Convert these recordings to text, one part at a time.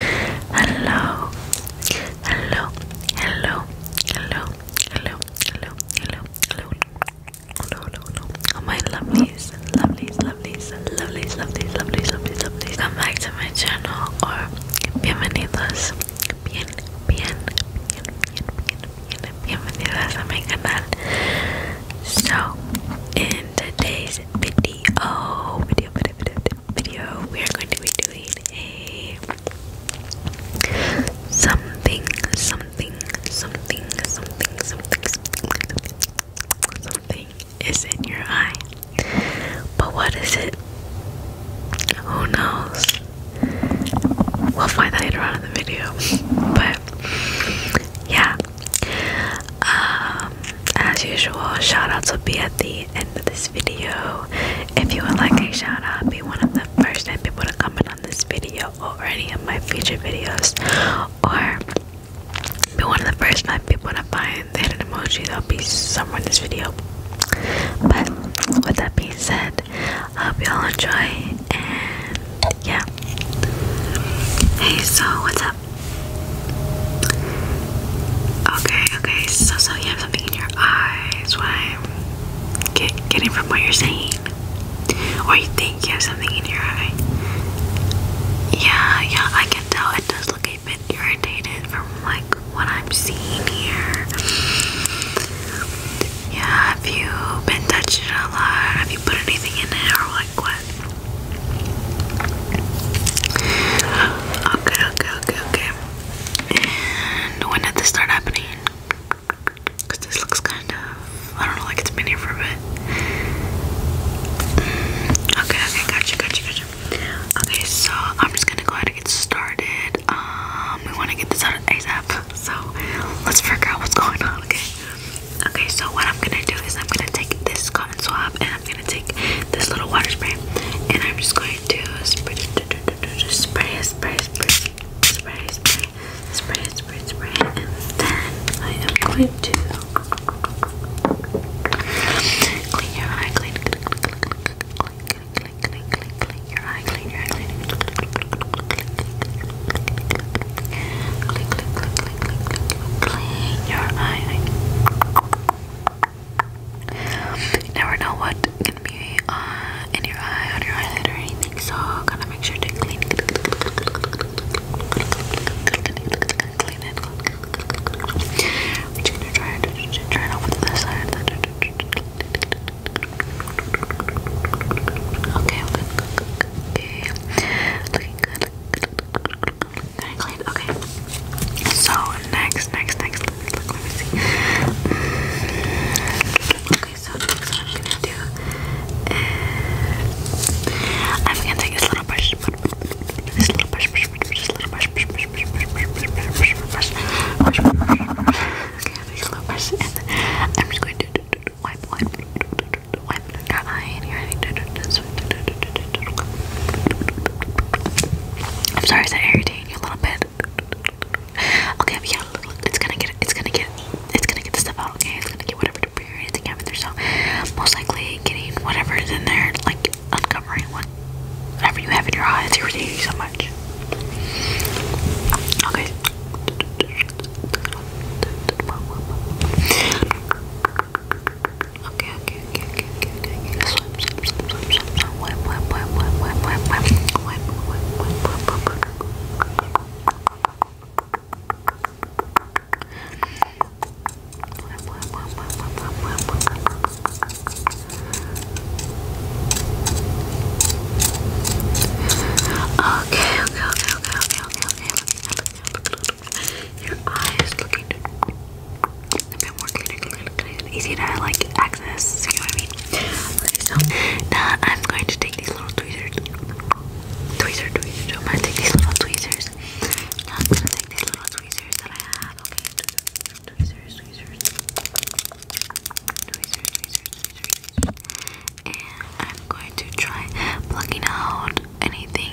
Hello, hello, hello, hello, hello, hello, hello, hello, hello, hello, hello. Oh my lovelies, lovelies, lovelies, lovelies, lovelies, lovelies, lovelies, lovelies. Come back to my channel or bienvenidos, bien, bien, bien, bien, bien, bienvenidas a my canal. So, in today's video, video, video, video, video we are going to be doing a something, something, something, something, something, something, is in your eye. But what is it? Who knows? We'll find that later on in the video. but yeah. Um, as usual, shoutouts will be at the end of this video. If you would like a shout out, be one of the first 10 people to comment on this video or any of my future videos, or be one of the first 9 people to find the emoji that'll be somewhere in this video. But with that being said, I hope y'all enjoy and yeah. Hey, so what's up? Okay, okay, so so you have something in your eyes. What I'm getting from what you're saying, or you think you have something in your eye. Yeah, yeah, I can tell it does look a bit irritated from like what I'm seeing here. Yeah, have you been touching it a lot? Have you put anything in it or like what? Okay, okay, okay, okay. And when did this start happening? Because this looks kind of, I don't know, like it's been here for a bit. Mm, okay, okay, gotcha, gotcha, gotcha. Okay, so I'm just gonna go ahead and get started. Um, we want to get this out of ASAP, so let's figure out what's going on, okay? Okay, so what I'm gonna do is I'm gonna take this cotton swab and I'm I'm gonna take this little water spray and I'm just going to spray, spray, spray, spray, spray, spray, spray, spray, spray, and then I am going to clean your eye, clean, clean, clean, clean, your eye, clean your eye, clean your eye. You never know what can be uh, in your eye, on your eyelid, or anything. So gotta make sure to clean, clean it, clean it. We're just gonna it, try it out Okay, okay, okay. Okay. So next, next, next. Let me see. Okay, so next, I'm gonna do I'm gonna take this little brush. This little brush, brush, brush, brush, this little brush, brush, brush, brush, brush, brush, brush, brush, brush, brush, brush. Okay, I take a little brush, and I'm just going to wipe, wipe, wipe your eye and your eye. Just I'm sorry, is that irritating you a little bit? Okay, it's gonna get, it's gonna get, it's gonna get the stuff out. Okay, it's gonna get whatever debris or anything out of there. So most likely getting whatever in there, like uncovering whatever you have in your eyes. It's irritating you so much. Okay. Okay, okay, okay, okay, okay, okay. Swipe, swipe, swipe, swipe, swipe, swipe, wipe, wipe, wipe, wipe, wipe, wipe, wipe, wipe, wipe, wipe, wipe, Okay, okay, okay, okay, okay, okay, okay. Your eyes looking a bit more cleaner, cleaner, cleaner, easy to like access. You know what I mean? Okay, so now I'm going to take these little tweezers, tweezers, tweezers. I'm gonna take these little tweezers. I'm gonna take these little tweezers that I have. Okay, tweezers, tweezers, tweezers, tweezers, tweezers, tweezers. and I'm going to try plucking out anything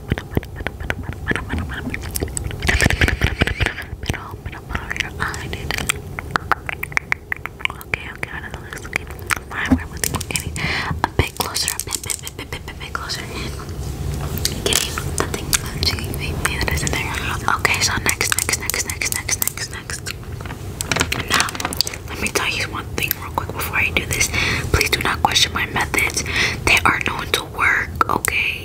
Okay, okay, I don't know this. Okay, a bit closer, a bit, bit, bit, bit, bit, bit, closer. Okay, so next, next, next, next, next, next, next. Now, let me tell you one thing real quick before I do this. Please do not question my methods. They are known to work, okay?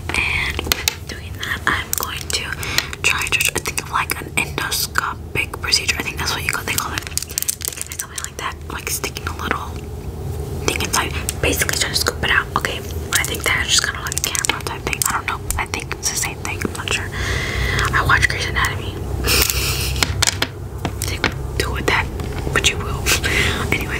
and doing that I'm going to try to think of like an endoscopic procedure I think that's what you call they call it something like that like sticking a little thing inside basically trying to scoop it out okay I think that's just kind of like a camera type thing I don't know I think it's the same thing I'm not sure I watch Grey's Anatomy do with that but you will anyway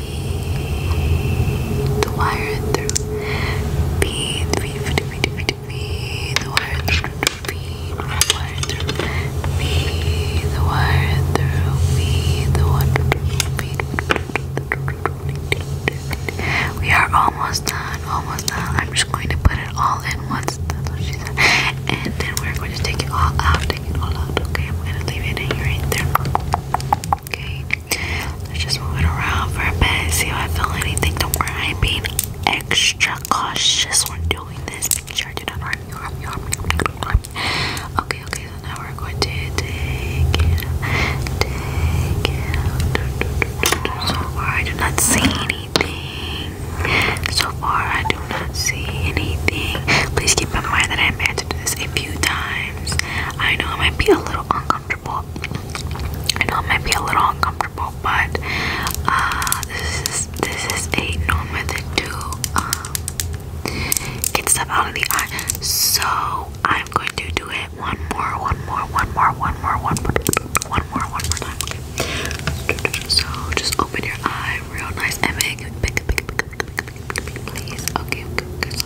B, the wire through B, B, B, B, B, the wire through B, the wire through B, the wire through B, the wire through B. We are almost done, almost done. I'm just going to put it all in once. That's what she said. And then we're going to take it all out, take it all out. Okay, I'm gonna leave it in here right Okay. Let's just move it around for a bit. See if I feel anything. Don't worry, I'm being extra cautious when doing this. so far, I do not see anything. So far, I do not see anything. Please keep in mind that I am to do this a few times. I know it might be a little uncomfortable uncomfortable. I know it might be a little uncomfortable, but uh, this is this is a known method to um, get stuff out of the eye. So I'm going to do it one more, one more, one more, one more, one more, one more, one more time. Okay. So just open your eye real nice and make it big, big, big, big, big, big, big, please. Okay, okay, okay.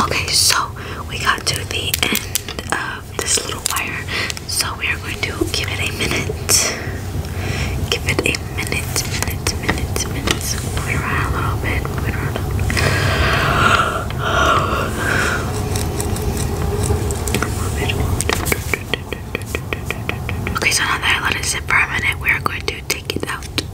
Okay, so we got to the end of this little wire, so we are going to give it a minute. Give it a minute, minute, minute, minute. Move it around a little bit. Move it around. Move it around. Okay, so now that I let it sit for a minute, we are going to take it out.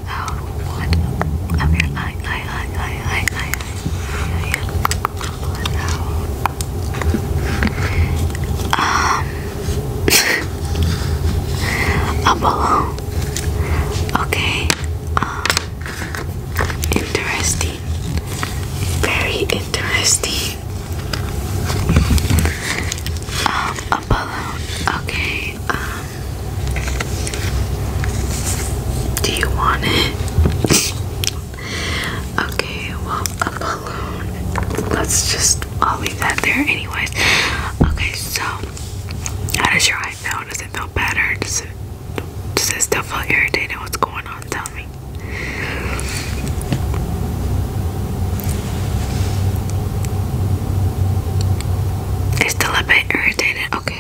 out, out one of your eye, eye, eye, eye, eye, eye, eye. Pull it Um, a balloon. Okay. Um, interesting. Very interesting. Um, a balloon. Okay. Um, do you want it? okay, well, a balloon. Let's just, I'll leave that there anyways. Okay, so, how does your eye feel? Does it feel better? Does it, still feel irritated? What's going on? Tell me. It's still a bit irritated. Okay.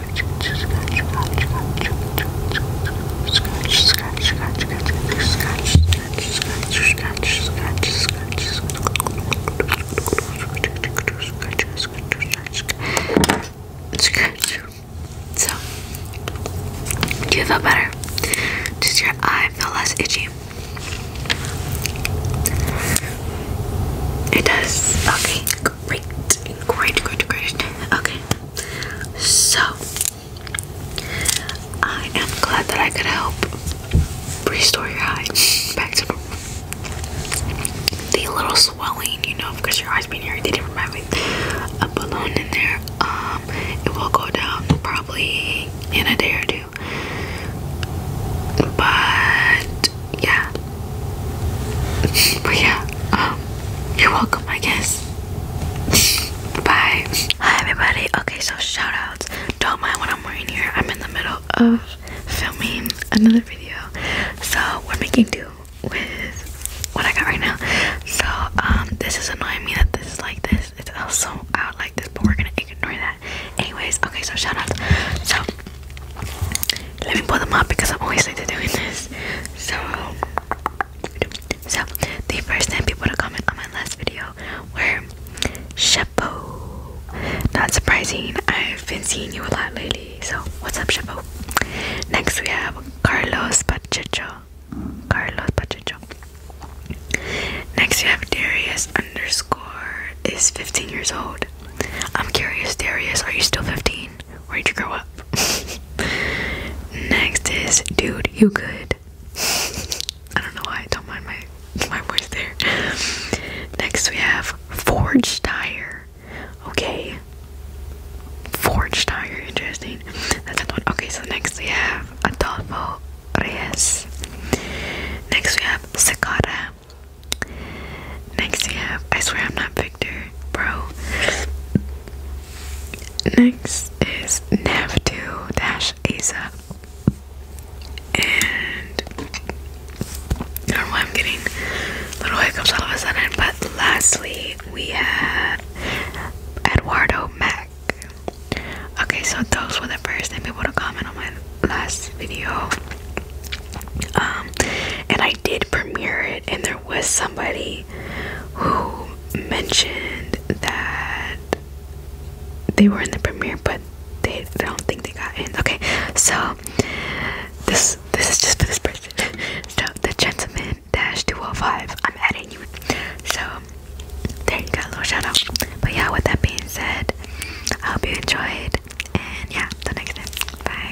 scratch, So, do you feel better? Does your eye feel less itchy? It does. Okay, Great, great, great, great. Okay, so I am glad that I could help restore your eye back to the little swelling, you know, because your eye's been irritated from having a balloon in there. Um, it will go down probably in a day or two, but yeah. yeah, um, you're welcome, I guess. Bye. Hi everybody. Okay, so shout outs. Don't mind what I'm wearing here. I'm in the middle of filming another video. So we're making do with what I got right now. So um this is annoying me that this is like this. It's also out like this, but we're gonna ignore that. Anyways, okay, so shout outs. So let me pull them up because I'm always into doing this. So, so the first 10 people to comment on my last video were Shepo. Not surprising, I've been seeing you a lot lately. So, what's up, Shepo? Next, we have Carlos Pacheco. Carlos Pacheco. Next, you have Darius underscore is 15 years old. I'm curious, Darius, are you still 15? Where'd you grow up? Next is dude, you good. I don't know why I don't mind my my voice there. Next we have forged tire. Okay. Forged tire, interesting. That's another one. Okay, so next we have Adolfo Reyes. Next we have Sakara. Next we have I swear I'm not Victor bro. Next is nav Dash Asa. And I don't know why I'm getting little hiccups all of a sudden, but lastly we have Eduardo Mac. Okay, so those were the first ten people to comment on my last video. Um, and I did premiere it, and there was somebody who mentioned that they were in the premiere, but they, don't think they got in. Okay, so this this is just for this person. So the gentleman dash two hundred oh five. I'm adding you. So there you go, a little shout out. But yeah, with that being said, I hope you enjoyed, and yeah, till next time. Bye.